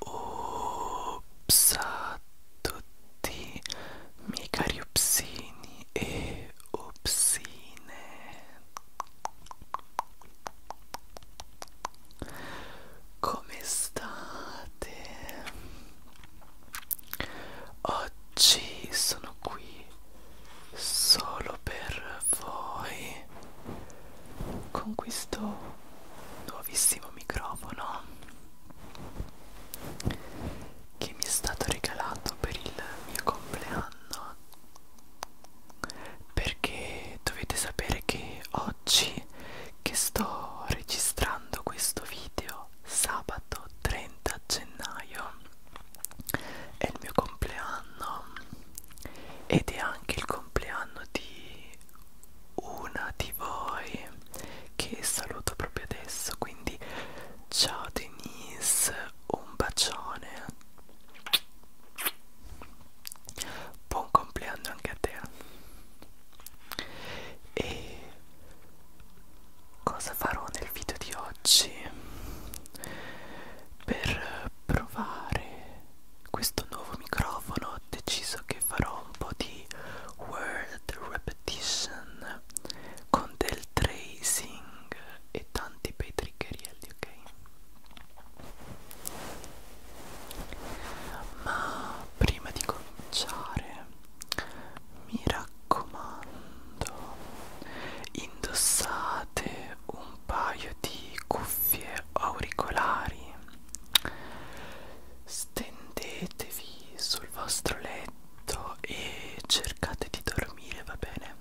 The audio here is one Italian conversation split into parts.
Ups a tutti, miei cari upsini e upsine. Come state? Oggi sono qui solo per voi con questo nuovissimo microfono che mi è stato regalato per il mio compleanno perché dovete sapere che oggi che sto registrando questo video io sabato 30 gennaio è il mio compleanno ed è anche il compleanno di una di voi che saluto proprio adesso quindi ciao Denise un bacione buon compleanno anche a te e cosa farò nel video di oggi per provare questo nuovo microfono ho deciso che farò un po' di word repetition con del tracing e tanti bei triggerielli ok ma prima di cominciare mi raccomando indossate un paio di cuffie auricolari stendetevi sul vostro letto e cercate di dormire va bene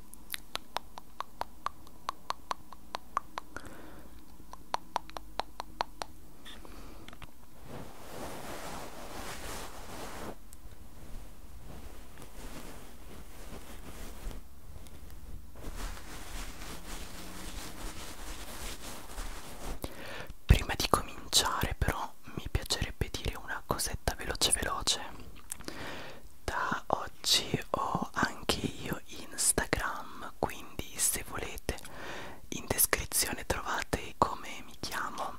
Prima di cominciare però mi piacerebbe dire una cosetta veloce veloce. Da oggi ho anche io Instagram, quindi se volete in descrizione trovate come mi chiamo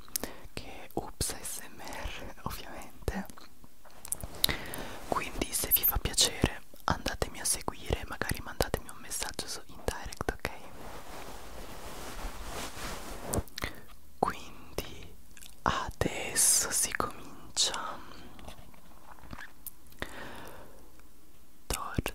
che è ups smr ovviamente quindi se vi fa piacere andatemi a seguire magari mandatemi un messaggio su in direct ok quindi adesso si comincia torta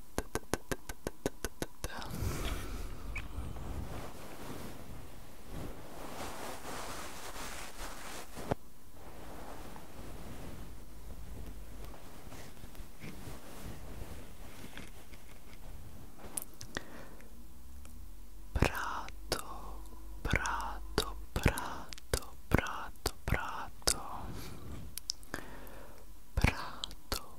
Prato, prato, prato, prato, prato. Prato,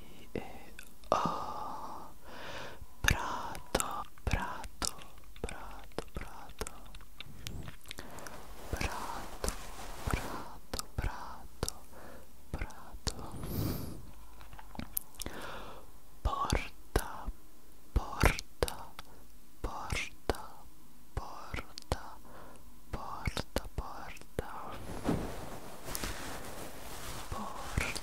eh, oh, prato, prato, prato, prato, prato, prato, prato, prato, porta, porta, porta, porta, porta, porta, porta.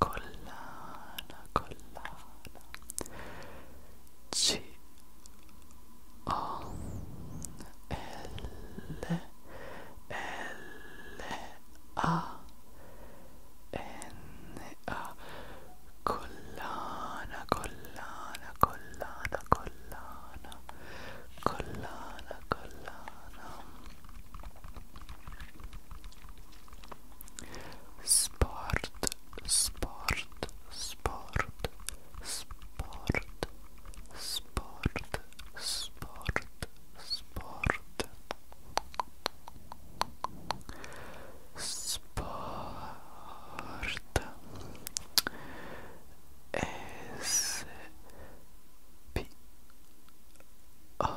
collana, collana C O L L A N A collana, collana, collana, collana, collana, collana Sport, sport, sport, sport, sport, sport, sport. Sport S P O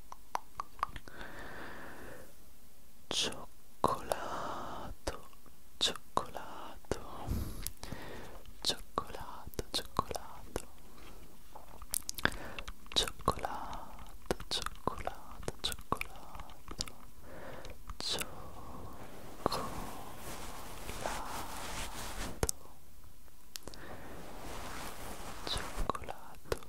Cioccolato, cioccolato, cioccolato, cioccolato, cioccolato, cioccolato, cioccolato, cioccolato. Cioccolato,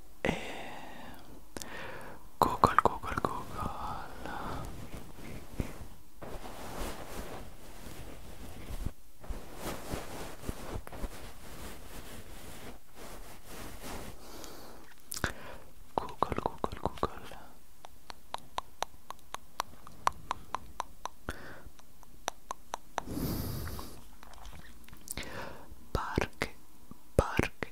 e eh, Google Google Google Google Google Google Park, park,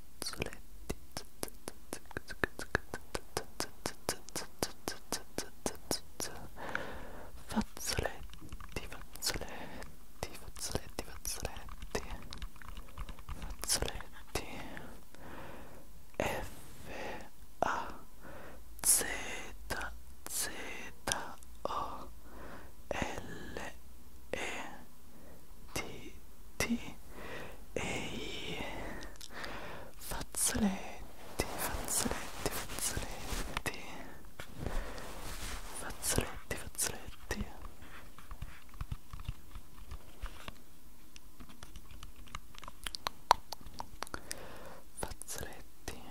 fazzoletti fazzoletti fazzoletti fazzoletti fazzoletti fazzoletti f a z z o l e Titi Ehi Fazzoletti Fazzoletti Fazzoletti Fazzoletti Fazzoletti Fazzoletti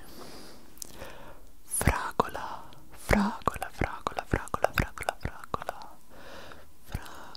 Fragola Fragola Fragola Fragola Fragola Fragola Fragola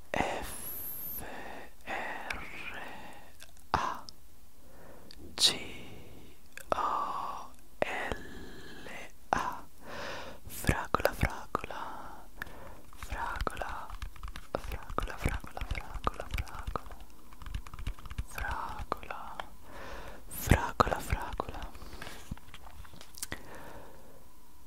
F R A G O L A Fragola fragola Fragola Fragola fragola fragola fragola Fragola Fragola fragola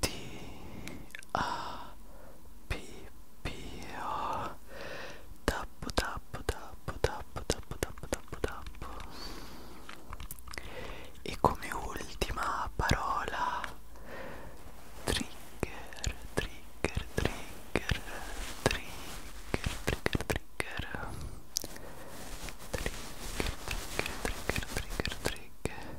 T A P P O tappo tappo tappo tappo tappo tappo tappo tappo e come ultima parola trigger trigger trigger trigger trigger trigger trigger trigger trigger trigger trigger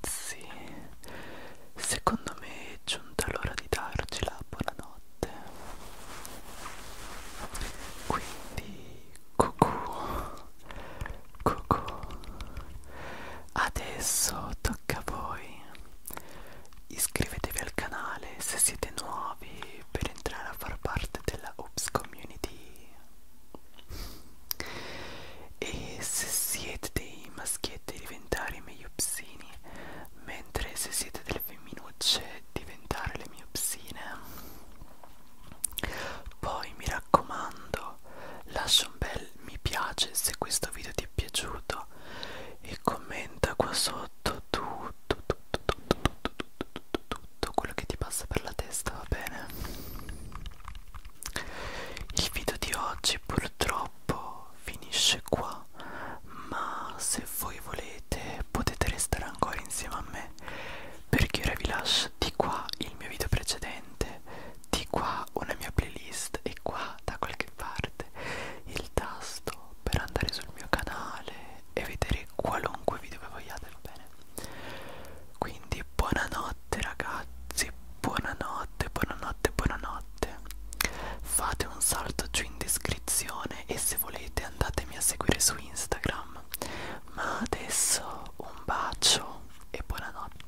ragazzi secondo me è giunta l'ora di darci la buonanotte quindi cucù cucù adesso tocca a voi iscrivetevi al canale se siete nuovi per entrare a far parte della Oops Community e se siete dei maschietti diventare meiopsini, mentre se siete delle femminucce diventare le miopsine. Poi mi raccomando, lascia un bel mi piace se questo video ti è piaciuto e commenta qua sotto tutto, tutto, tutto, tutto, tutto, tutto, tutto quello che ti passa per la testa, va bene? Il video di oggi purtroppo finisce qua, ma se voi volete potete restare ancora insieme a me perché ora vi lascio di qua il mio video precedente, di qua una mia playlist e qua da qualche parte il tasto per andare sul mio canale e vedere qualunque video che vogliate, va bene? Quindi buonanotte ragazzi, buonanotte, buonanotte, buonanotte. Fate un salto giù in descrizione e se volete andatemi a seguire su Instagram. Ma adesso un bacio e buonanotte.